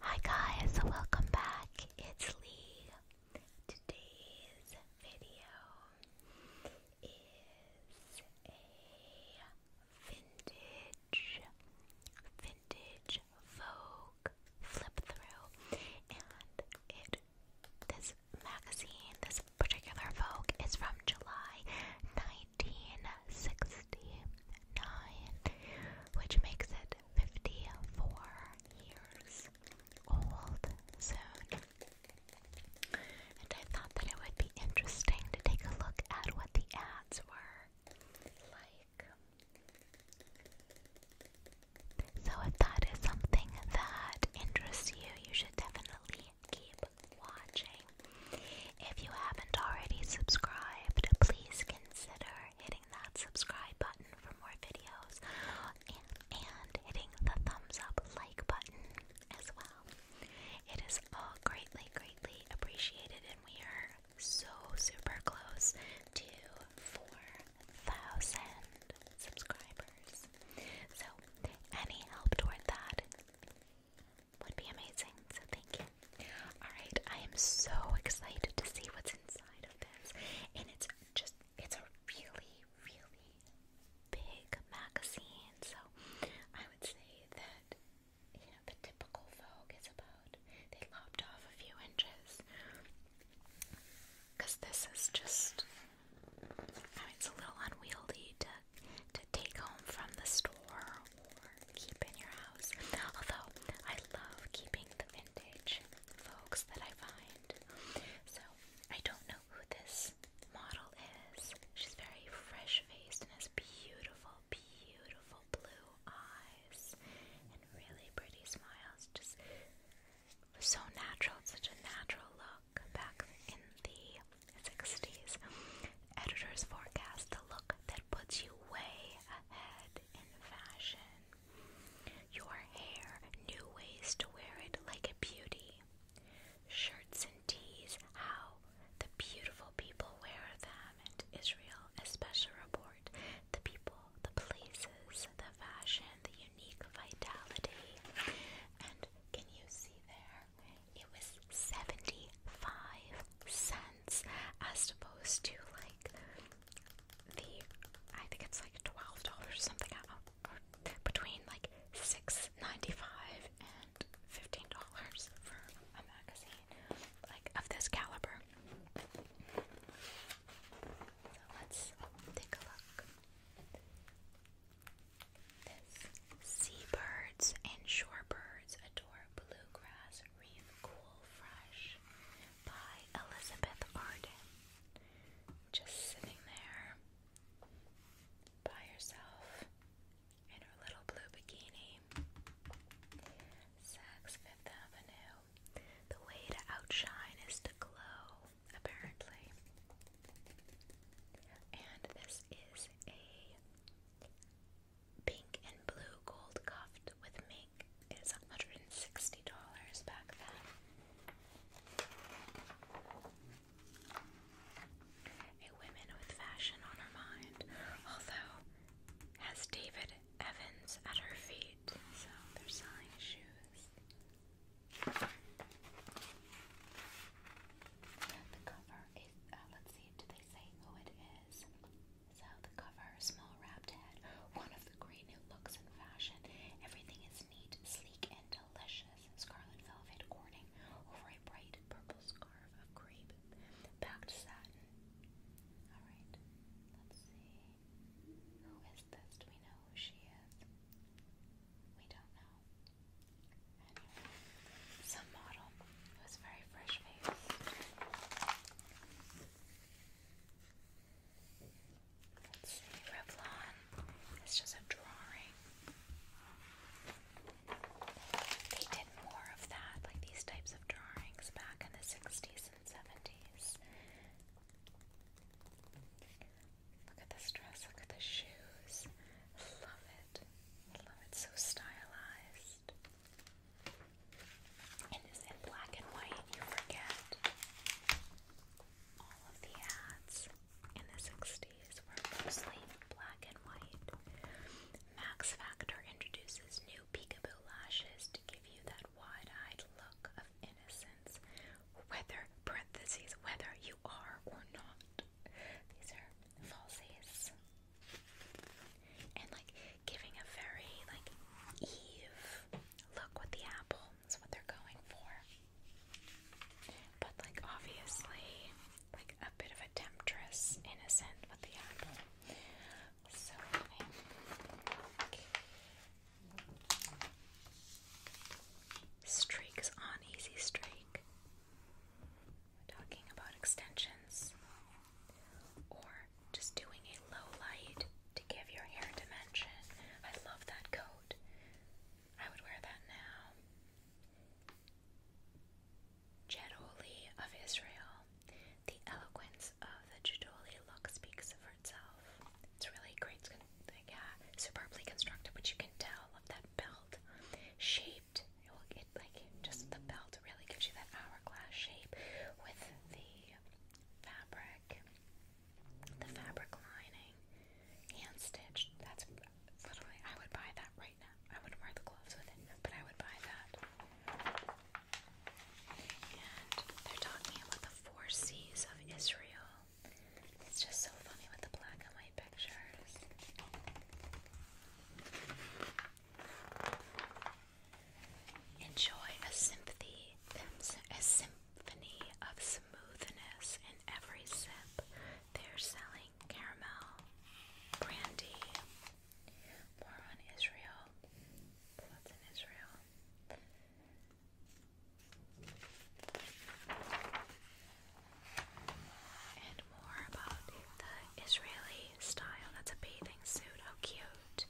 Hi guys, welcome back. It's Lee. Today's video is a vintage vintage Vogue flip through and this magazine, this particular Vogue is from July 1869, which makes it 54 years old soon. And I thought that it would be interesting to take a look at what the ads were like. So, if that is something that interests you, you should definitely keep watching. If you haven't already subscribed, please consider hitting that subscribe button for more videos and, hitting the thumbs up like button as well. It is all greatly, greatly appreciated, and we are so super close to 4,000 subscribers. So, any help toward that would be amazing. So thank you. Alright, I am so excited to see what's inside of this. And it's just, it's a really, really big magazine. So I would say that, you know, the typical Vogue is about, they lopped off a few inches. Because this is just, I mean, it's a little unwieldy to, to take home from the store keep in your house. Although I love keeping the vintage folks that I find. So I don't know who this model is. She's very fresh faced and has beautiful, beautiful blue eyes and really pretty smiles. Just so natural, such a natural look back in the 60s. Editors forecast the look that puts you way ahead in fashion. Your hair, new ways to wear it like a beauty. Shirts and tees, how the beautiful people wear them, and Israel, a special report. The people, the places, the fashion, the unique vitality. And can you see there? It was 75 cents as opposed to like the I think it's like twelve dollars or something or between like six ninety five and fifteen dollars for a magazine like of this caliber. So let's take a look. This seabirds and shorebirds adore bluegrass Cool Fresh by Elizabeth Arden. Just sitting there by herself in her little blue bikini. Saks Fifth Avenue. The way to outshine is to glow, apparently. And this is a pink and blue gold cuffed with mink. It is $160 back then. A woman with fashion on her mind, although has David Evans at her feet, so they're selling shoes. The cover is, uh, let's see, do they say who it is? So the cover, small wrapped head, one of the great new looks in fashion. Everything is neat, sleek, and delicious. Scarlet velvet corning over a bright purple scarf of crepe, packed satin. All right, let's see. Who is this? Do we know who she is? We don't know. Anyway, some model it was very fresh faced. Let's see, Revlon. It's just a drawing. They did more of that, like these types of drawings back in the 60s and 70s. Look at this dress, look at the shoes. Love it. Love it, so stylized. And in black and white. You forget all of the ads in the 60s were mostly black and white. Max Factor introduces new peekaboo lashes to give you that wide-eyed look of innocence, whether parentheses whether you are or not. These are falsies and like giving a very like Eve look with the apple is what they're going for. But like obviously, like a bit of a temptress, innocent with the apple. So I think Easy Streak talking about extensions or just doing a low light to give your hair dimension. I love that coat. I would wear that now. Jedoli of Israel. The eloquence of the Jedoli look speaks for itself. It's really great, yeah, superbly constructed, which you can tell of that belt shape it. like just the belt really gives you that hourglass shape with the fabric, the fabric lining, hand stitched. That's literally I would buy that right now. I wouldn't wear the gloves with it, but I would buy that. And they're talking about the four C's of Israel. It's just so funny with the black and white pictures. Enjoy a symphony, a symphony of smoothness in every sip. They're selling caramel, brandy. More on Israel. What's in Israel? more about the Israeli style. That's a bathing suit. How cute.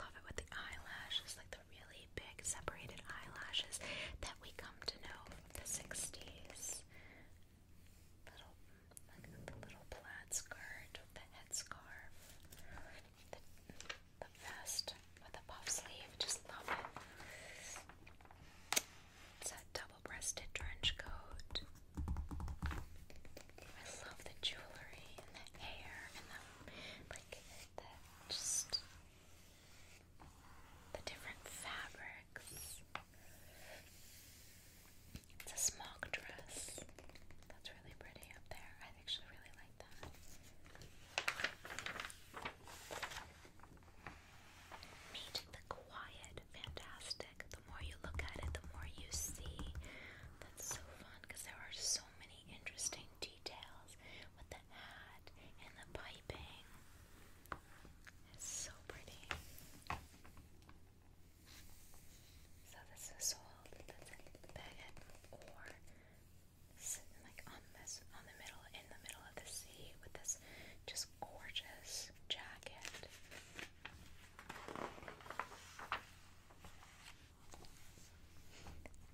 Love it with the eyelashes, like the really big separated eyelashes that we come to know from the 60s. Little, like the little plaid skirt with the headscarf. The, the vest with the puff sleeve. Just love it. It's that double-breasted trench coat. I love the jewelry and the hair and the like just the different fabrics. It's a smock dress. That's really pretty up there. I actually really like that. Meet the quiet, fantastic. The more you look at it, the more you see. That's so fun because there are so many interesting details with the hat and the piping. It's so pretty. So this is sold. That's a baguette or sitting like on this on the middle in the middle of the sea with this just gorgeous jacket.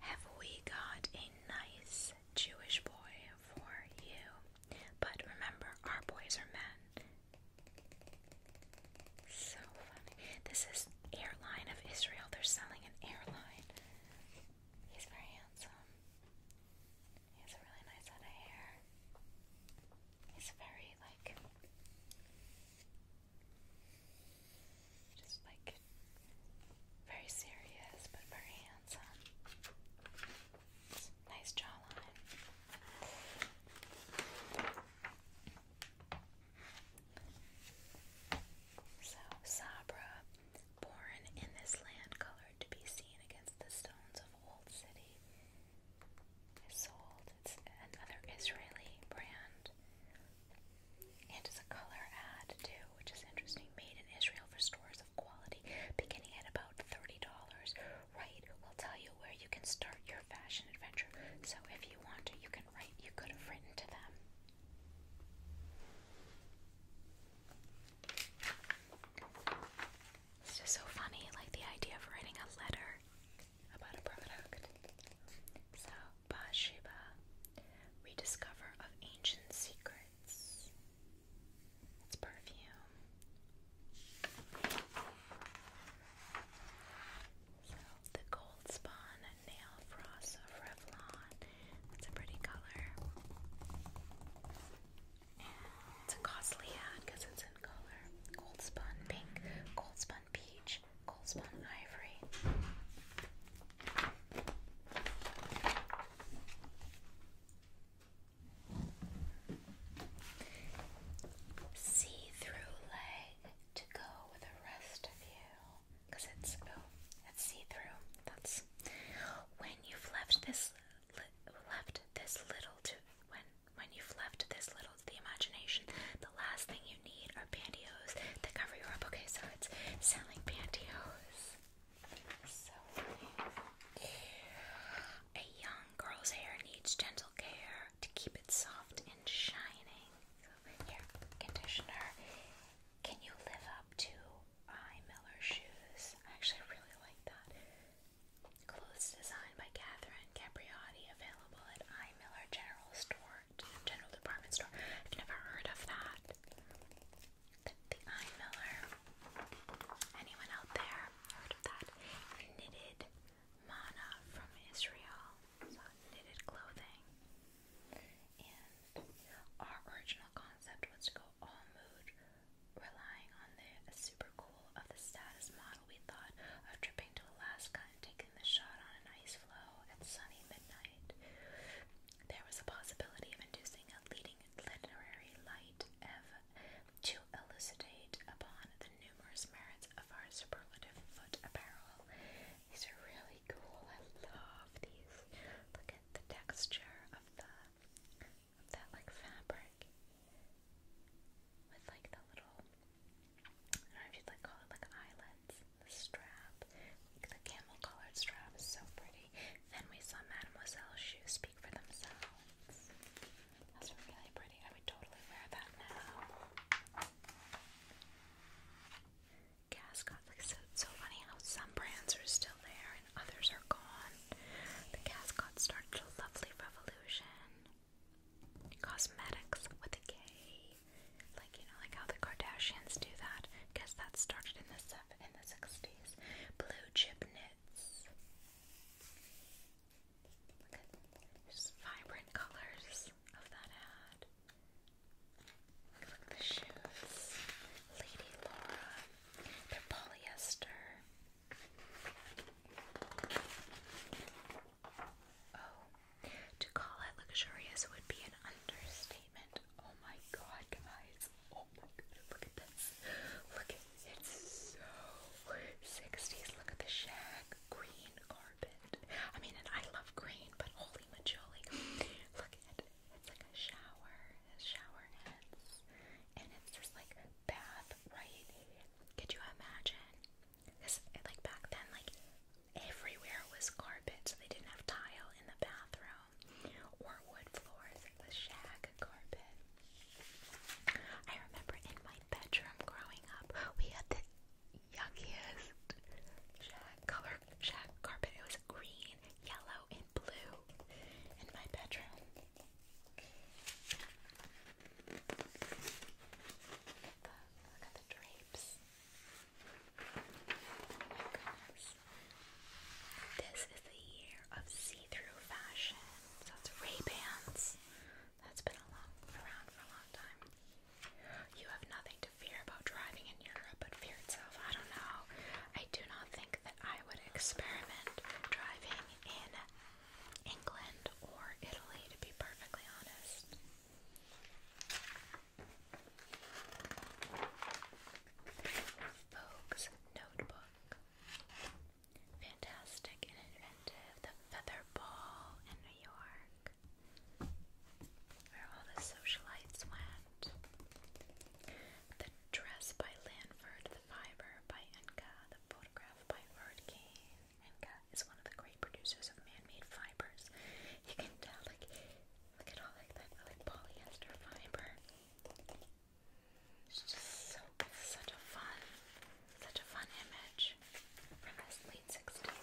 Have we got a nice Jewish boy for you? But remember, our boys are men. So funny. This is Airline of Israel. They're selling an airline. He's very handsome. He has a really nice head of hair. He's very like just like very serious but very handsome. Nice jawline. So Sabra, born in this land, colored to be seen against the stones of old city, is sold. It's another Israeli brand. it's a color ad too, which is interesting. Made in Israel for stores of quality, beginning at about $30. Right will tell you where you can start your fashion adventure. So if you want to, you can write, you could have written to them. It's just so funny, like the idea of writing a letter about a product. So, Bathsheba, rediscover of ancient secrets. It's perfume. So, the Gold Spawn Nail Frost of Revlon. That's a pretty color. It's a costly ad because it's in color. Gold spun pink, gold spun peach, gold spun ivory. See through leg to go with the rest of you. Because it's, oh, it's see through. That's when you've left this. left this little to when when you've left this little to the imagination, the last thing you need are pantyhose that cover you up. Okay, so it's selling pantyhose. So funny. A young girl's hair needs gentle care to keep it soft and shining. So here, conditioner. Can you live up to I Miller shoes? I actually really like that. Clothes designed by Catherine Capriotti, available at I. Miller General Store, General Department Store. I've never heard of that. The I. Miller. Anyone out there heard of that? Knitted mana from Israel. knitted clothing. And our original concept was to go all mood relying on the super cool of the status model, we thought of tripping to Alaska and taking the shot on an ice floe at sunny midnight. There was a possibility of inducing a leading literary light Ev to elucidate upon the numerous merits of our superlative foot apparel. These are really cool. I love these. Look at the texture of the that like fabric with like the little I don't know if you'd like call it like eyelets, the strap, like the camel colored strap is so pretty. Then we saw Mademoiselle shoes speak for themselves. Those really pretty. I would totally wear that now. Gascon, so, funny how some brands are still there and others are gone. The Gascon started a lovely revolution cosmetics with a K. Like you know, like how the Kardashians do that. Guess that started in the seven in the sixties. Blue chip knits. vibrant colors of that ad. Look at the shoes. Lady Laura. They're polyester. Oh, to call it luxurious would be an understatement. Oh my god, guys. Oh my god, look at this. Look it's so 60s. Look at the shag green carpet. I mean, and I love green, but holy majoli. Look at it. It's like a shower, shower nets, and it's just like path, right? Could you imagine? Because eh, like back then, like everywhere was carpet, so they didn't have tile in the bathroom or wood floors. It was shag carpet. I remember in my bedroom growing up, we had the yuckiest shag color shag carpet. It was green, yellow, and blue in my bedroom. Look at the drapes. This is the year of see-through fashion. So it's Ray-Bans. That's been around for a long time. You have nothing to fear about driving in Europe but fear itself. I don't know. I do not think that I would experiment driving in England or Italy, to be perfectly honest. Vogue's Notebook. Fantastic and inventive. The Feather Ball in New York. Where all the socialites went. The Dress by Lanford. The Fiber by Enka. The Photograph by Word Menka is one of the great producers of man-made fibers. You can tell, like, look at all like that, like polyester fiber. It's just so such a fun, such a fun image from this late sixties.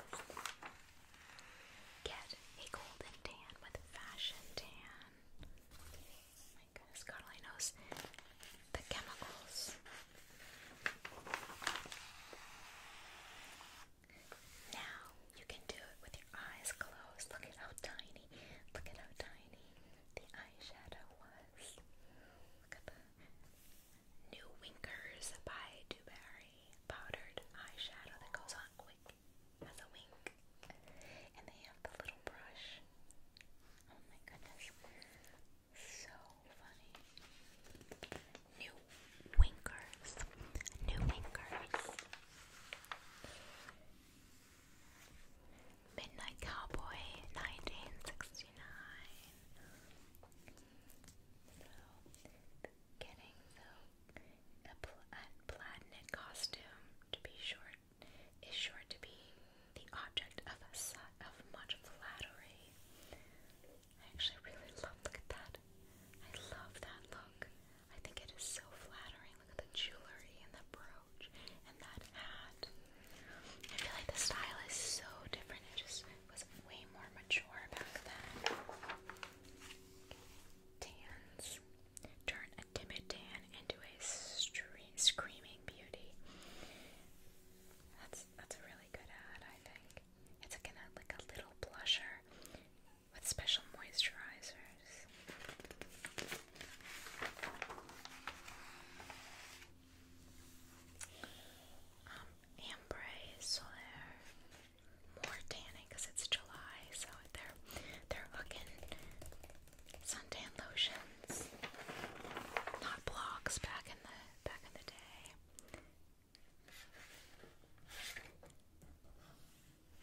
Get a golden tan with fashion tan. Oh my goodness, God the chemicals now you can do it with your eyes closed. Look at how tiny, look at how tiny the eyeshadow was. Look at the New Winkers by Dewberry powdered eyeshadow that goes on quick as a wink. And they have the little brush. Oh my goodness. So funny. New winkers. New winkers. Midnight Cowboy 1969. So, getting the a plaid knit costume to be short is sure to be the object of a sight of much flattery. I actually really love look at that. I love that look. I think it is so flattering. Look at the jewelry and the brooch and that hat. I feel like the style is so different. It just was way more mature back then. Tans. Turn a timid tan into a screaming beauty. That's that's a really good ad, I think. It's like a little blusher with special moisturizers. Um, Ambre Solaire, more tanning because it's July, so they're they're hooking suntan lotions, not blocks back in the back in the day.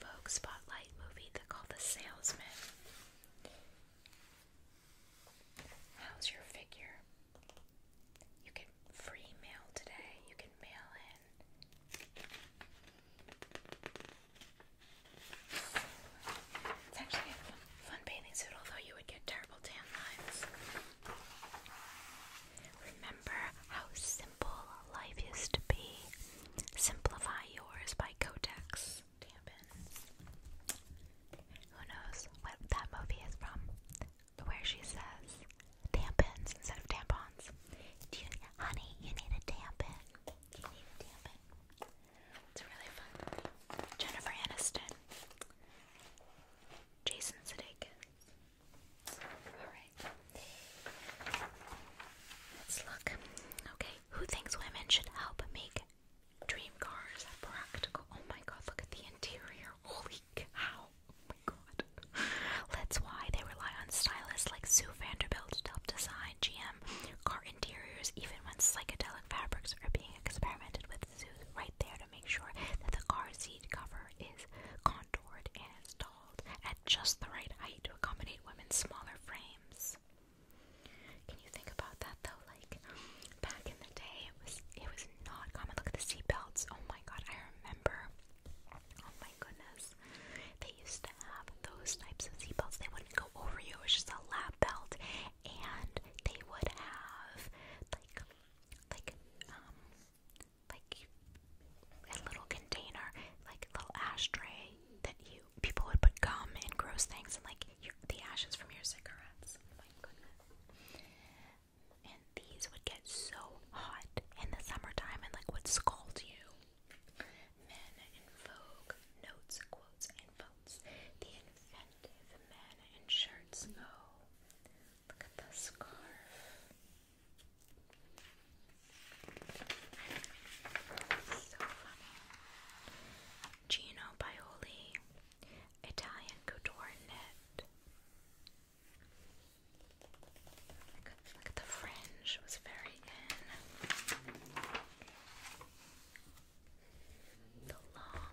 Vogue Spotlight movie they call The Salesman. How's your figure? You get free mail today. You can mail in fun bathing suit, although you would get terrible tan lines. Remember how simple life used to be? Simplify yours by Kotex tampons. Who knows what that movie is from? Where she says tampons instead of tampons. Do you, honey, you need a tampon. You need a tampon. It's really fun. Jennifer Aniston. Jason Sudeikis. Alright. Let's look. Okay, who thinks women should help make dream cars practical? Oh my god, look at the interior. Holy cow. Oh my god. That's why they rely on stylists like Sue Vanderbilt to help design GM car interiors, even when psychedelic fabrics are being experimented with right there to make sure that the car seat cover is contoured and installed at just the right height to accommodate women's smaller frames. Can you think about that though? Like back in the day, it was it was not common. Look at the seatbelts. Oh my god, I remember. Oh my goodness, they used to have those types of seatbelts. They wouldn't go over you. It was just a lap belt, and they would have like like um like a little container, like a little ashtray that you people would put gum and gross things and like your, the ashes from your cigarettes. Oh my goodness. And these would get so hot in the summertime and like would scald you. Men in vogue, notes, quotes, and votes. The attentive men in shirts go. Look at the scarf. So funny. Gino Baioli, Italian couture knit. Look at, the fringe, was very in. The long,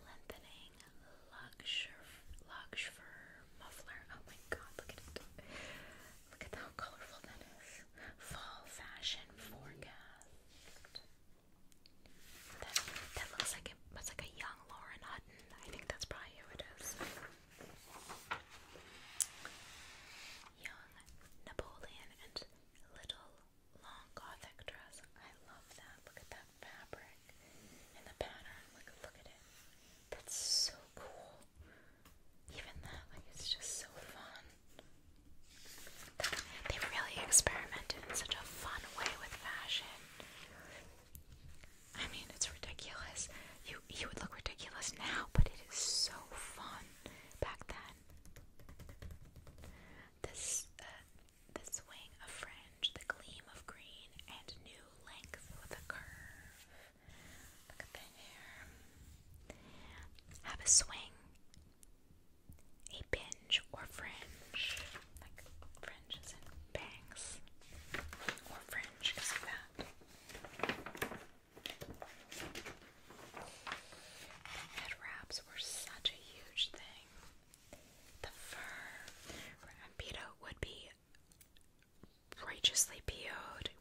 lengthening luxe fur muffler. Oh my god, look at it. Look at how colorful that is. Fall fashion forecast. That, that looks like it, that's like a young Lauren Hutton. I think that's probably who it is. Young Napoleon and Little long gothic dress. I love that. Look at that fabric and the pattern. Like, look at it. That's so cool. Even that, like, it's just so fun. They really experimented in such a fun way with fashion. I mean, it's ridiculous. You you would look ridiculous now, but it is so fun back then. This uh, the swing of fringe, the gleam of green, and new length with a curve. Look at the hair. Have a swing, a binge or fringe, like fringe is in bangs, or fringe Head wraps were such a huge thing. The fur for Ampedo would be righteously po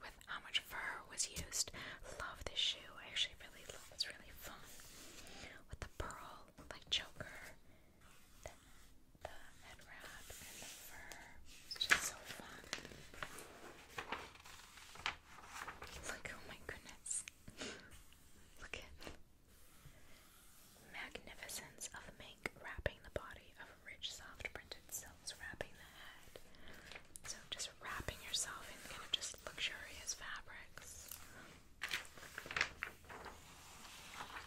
with how much fur was used. Love this shoe. I actually really love It's really fun. With the pearl, like Joker. the, the and the fur. It's just so fun. Look, oh my goodness. Look at Magnificence of mink wrapping the body of rich, soft printed silks wrapping the head. So just wrapping yourself in kind of just luxurious fabrics.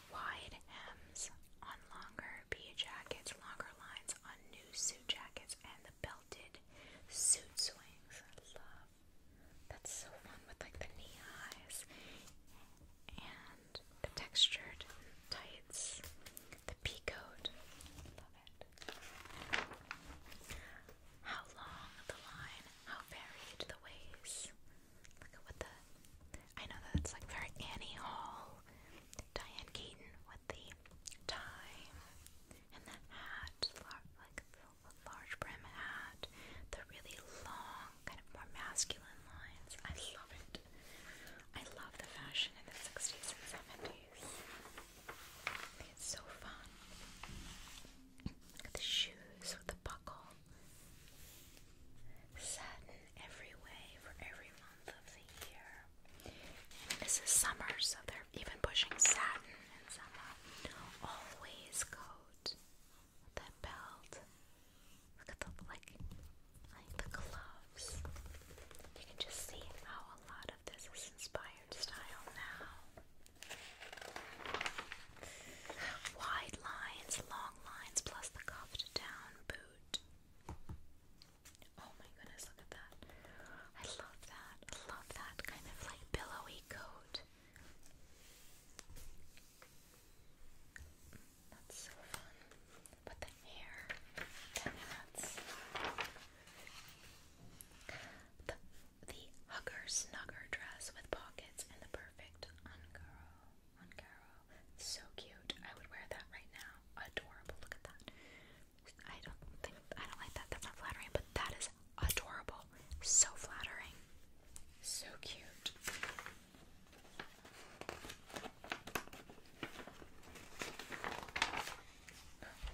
Wide hems on longer pea jackets, longer lines on new suit jackets, and the belted suit swings. I love that's so fun with like the knee highs and the textured tights, the peacoat. Love it. How long the line? How varied the ways? Look at what the. I know that's like very Annie Hall, Diane Keaton with the tie and the hat, like the large brim hat, the really long, kind of more masculine lines. I love it. I love the fashion in the 60s and 70s. I think it's so fun. Look at the shoes with the buckle. Satin every way for every month of the year. And this is summer, so they're even pushing satin in summer. Always coat that belt. Look at the like, like the gloves. You can just see how a lot of this is inspired style now. Wide lines, long lines, plus the cuffed down boot. Oh my goodness, look at that. I love that. I love that kind of like billowy coat. That's so fun. But the hair, that's the, the hugger snugger dress with pockets and the perfect uncurl, uncurl. So cute. I would wear that right now. Adorable. Look at that. I don't think I don't like that. That's not flattering, but that is adorable. So flattering. So cute.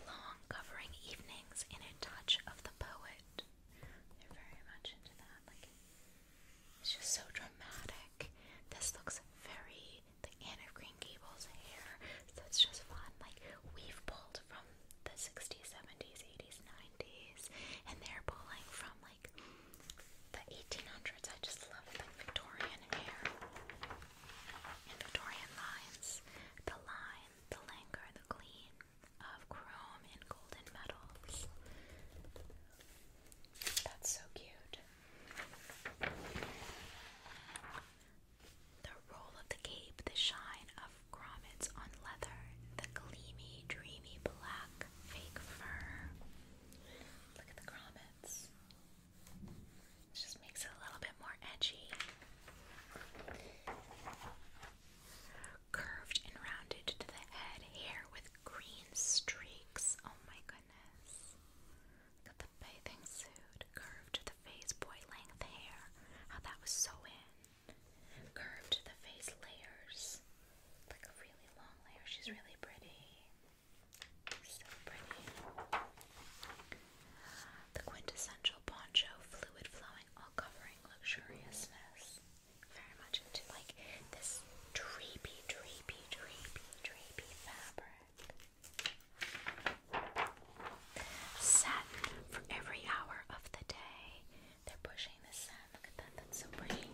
Long covering evenings in a touch of the poet. They're very much into that. Like it's just so dramatic. This looks very the Anne of Green Gables hair. So just fun. Like we've pulled from the 60s, 70s, 80s, and they're pulling from like the 1800s. I just love the Victorian hair and Victorian lines. The line, the languor, the gleam of chrome and golden metals. That's so cute. The roll of the cape, the shine of grommets on leather, the gleamy, dreamy black fake fur. Look at the grommets. It just makes it a little bit more edgy. Curved and rounded to the head, hair with green streaks. Oh my goodness. Look the bathing suit. Curved to the face, boy length hair. How that was so in curved the face layers, like a really long layer. She's really pretty. So pretty. The quintessential poncho, fluid flowing, all covering luxuriousness. Very much into like this drapey, drapey, drapey, drapey fabric. Satin for every hour of the day. They're pushing the sun. Look at that. That's so pretty. Love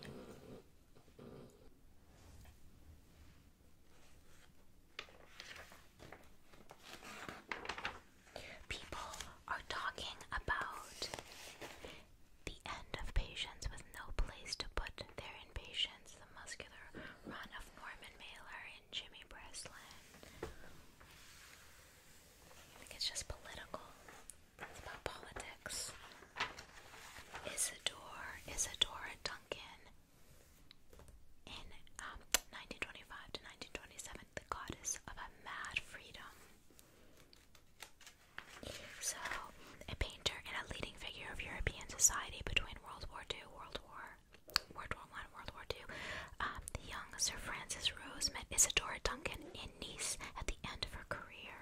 it. People are talking about the end of patience with no place to put their impatience the muscular run of Norman Mailer and Jimmy Breslin. I think it's just political. It's about politics. Isadora, Isadora Duncan in 1925 um, to 1927, the goddess of a mad freedom. So a painter and a leading figure of European society between World War II, World War, World War One, World War II. Um, the young Sir Francis Rose met Isadora Duncan in Nice at the end of her career.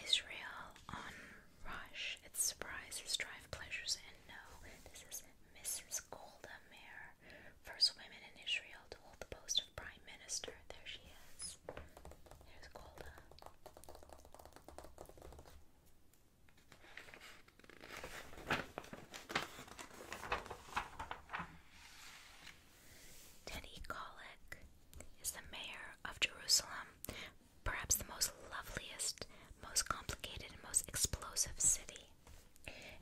Israel on Rush. Its surprises drive pleasures and no. This is Mrs. Golda Meir. First women in Israel to hold the post of Prime Minister. There she is. There's Golda. Teddy Kollek is the mayor of Jerusalem, perhaps the most loveliest, most complicated, and most explosive city.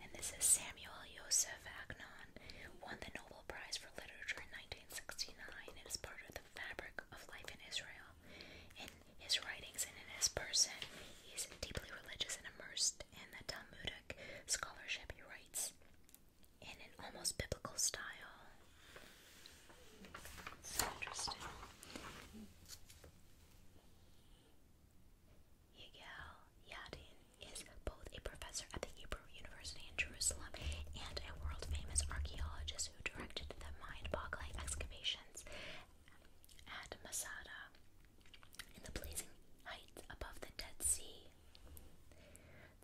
And this is Samuel Yosef Agnon, won the Nobel Prize for Literature in 1969. It is part of the fabric of life in Israel. In his writings and in his person, he is deeply religious and immersed in the Talmudic scholarship he writes in an almost biblical style. So interesting. Yigal Yadin is both a professor at the Hebrew University in Jerusalem and a world famous archaeologist who directed the mind boggling excavations at Masada in the blazing heights above the Dead Sea.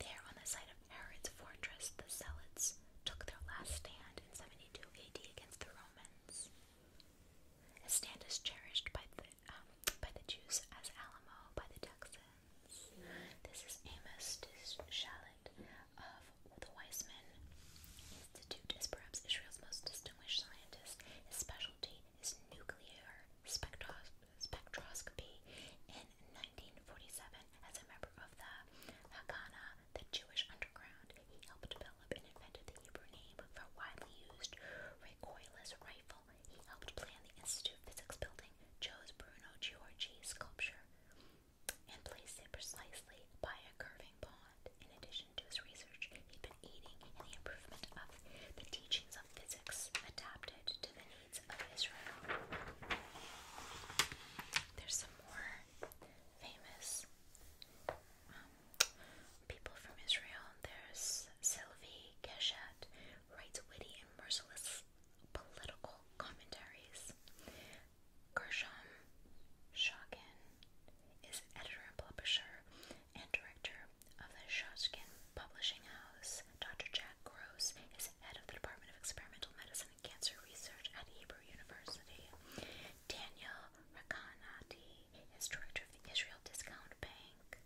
There, on the site of Herod's fortress, the Zealots took their last stand in 72 AD against the Romans. The stand is cherished by the um, by the Jews as Alamo by the Texans. This is Amos Shalit of the Weizmann Institute is perhaps Israel's most distinguished scientist. His specialty is nuclear spectroscopy. In 1947, as a member of the Haganah, the Jewish underground, he helped develop and invented the Hebrew name for widely used recoilless rifle he helped plan the Institute of Physics building, chose Bruno Giorgi's sculpture, and placed it precisely by a curving pond. In addition to his research, he'd been aiding in the improvement of the teachings of physics adapted to the needs of Israel. There's some more famous um, people from Israel. There's Sylvie Keshet, writes witty and merciless political commentaries. Gershom Shotkin is editor and publisher and director of the Shotkin Publishing House. Dr. Jack Gross is head of the Department of Experimental Medicine and Cancer Research at Hebrew University. Daniel Rakanati is director of the Israel Discount Bank.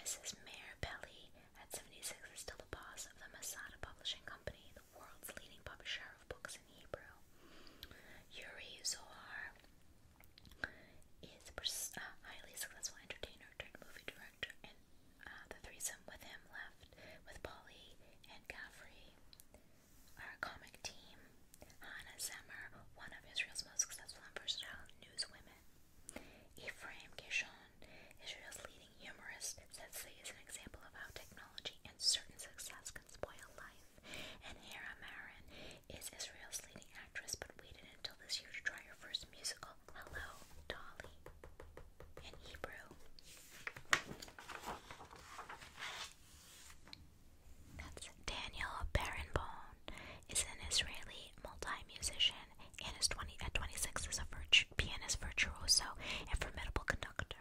Mrs. Mayor Belly, at 76, is still the boss of the Masada Publishing Company, the world's leading publisher of books in Hebrew. Uri Zohar is a uh, highly successful entertainer turned movie director, and uh, the threesome with him left with Polly and Gaffrey our comic team. Hannah Zemmer, one of Israel's most successful and newswomen. Kishon, Israel's leading humorist, says he is an example of how technology and certain success can spoil life. And Hera Marin is Israel's leading actress, but waited until this year to try her first musical, Hello, Dolly, in Hebrew. That's Daniel Barenboim is an Israeli multi-musician and is 20, at 26 is a virtu pianist, virtuoso, and formidable conductor.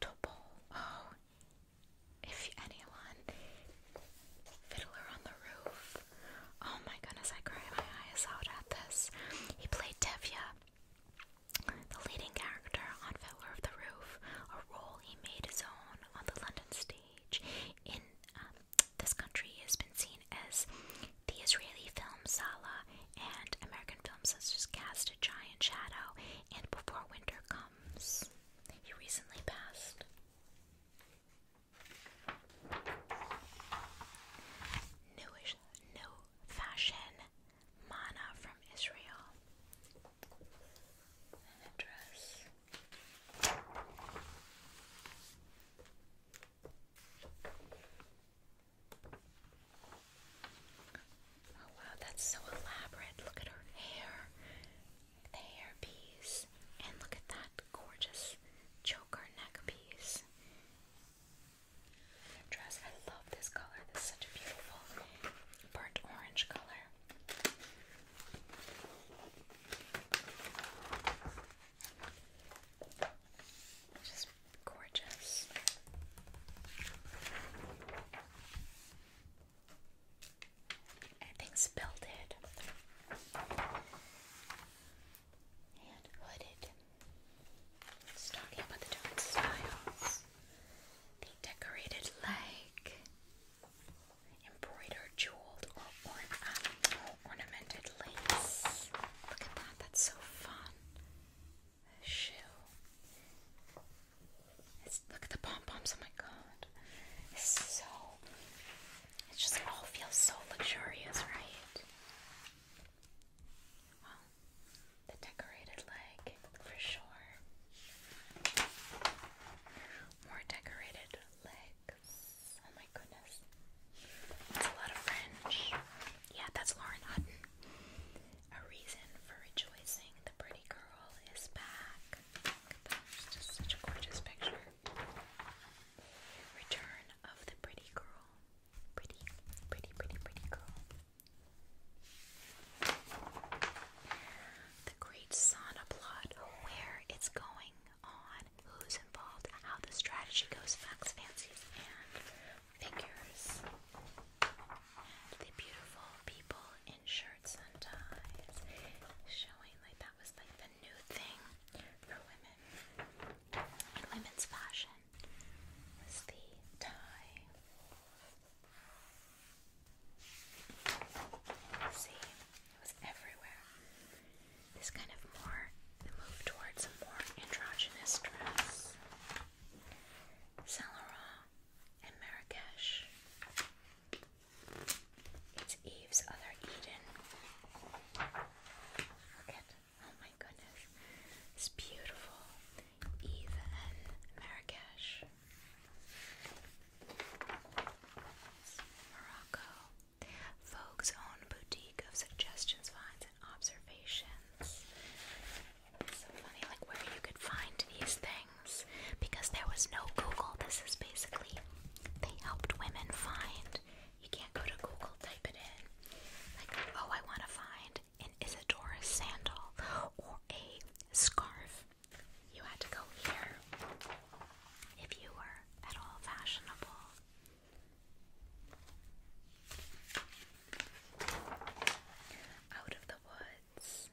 Topol, oh, if anyone, Fiddler on the Roof. Oh my goodness, I cry my eyes out at this. He played Tevya, the leading character on Fiddler of the Roof, a role he made his own on the London stage in um, this country has been seen as the Israeli film Sala and American films has just Cast a Giant Shadow and Before Winter Comes. He recently passed. Newish, new fashion mana from Israel. And a dress. Oh wow, that's so elaborate. Look at her hair, the hair and look at that gorgeous choker neck piece. dress, I love this color. This such a beautiful burnt orange color. Just gorgeous. Everything's belted and hooded. Just talking about the different styles. The decorated leg embroidered, jeweled, or, ornate, um, ornamented lace. Look at that, that's so fun. A shoe. look at the pom poms, oh my god. It's so. It just all feels so luxurious, right? Well, the decorated leg for sure. More decorated legs. Oh my goodness. That's a lot of French. Yeah, that's Lauren Hutton. A reason for rejoicing. The pretty girl is back. such a gorgeous picture. Return of the pretty girl. Pretty, pretty, pretty, pretty girl the great sauna plot, where it's going on, who's involved, how the strategy goes, facts, fancies, and figures. the beautiful people in shirts and ties, showing like that was like the new thing for women. women's fashion was the tie. See, it was everywhere. This kind of more, move towards more androgynous dress. Saint and Marrakesh. It's Eve's other Eden. Look oh my goodness, it's beautiful. Eve and Marrakesh. Morocco. Vogue's own boutique of suggestions, finds, and observations. so funny, like where you could find these things because there was no Google. This is basically they helped women find. You can't go to Google, type it in. Like, oh, I want to find an Isidora's sandal or a scarf you had to go here if you were at all fashionable. Out of the woods,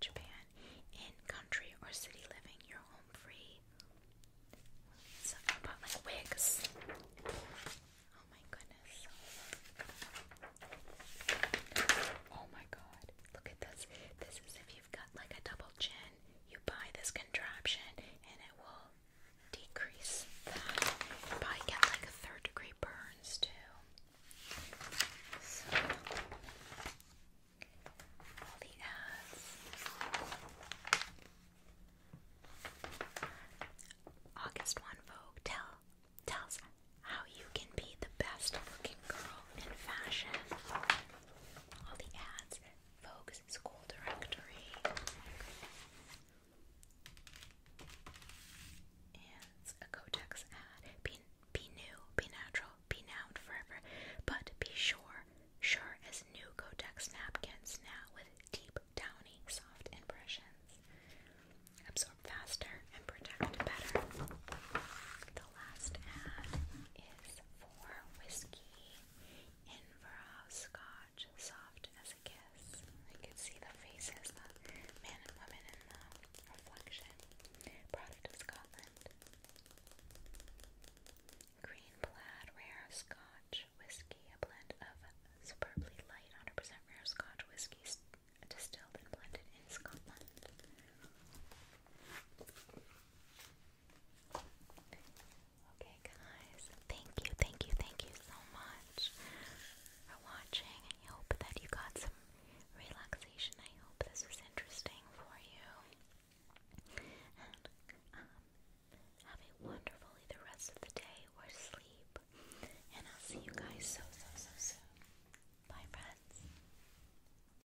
Japan, in country or city living, you're home free. So I like wigs. Oh my goodness. Oh my god. Look at this. This is if you've got like a double chin, you buy this contraption and it will decrease that. probably get like a third degree burns too. So, the ads. August 1 Vogue tell, tells how you can be the best looking girl in fashion all the ads, Vogue's school directory, and a Kotex ad. Be, be new, be natural, be now forever, but be sure, sure as new Kotex napkins now with deep, downy, soft impressions. Absorb faster and protect better. The last ad is is for whiskey, Inverhouse Scotch, soft as a kiss. I could see the faces, the man and woman in the reflection. Product of Scotland. Green plaid rare Scotch whiskey, a blend of superbly light 100% rare Scotch whiskies distilled and blended in Scotland. Okay, guys, thank you, thank you, thank you so much for watching. I hope that you got some relaxation. I hope this was interesting for you. Um, have a wonderful either rest of the day or sleep. And I'll see you guys so, so, so soon. Bye, friends.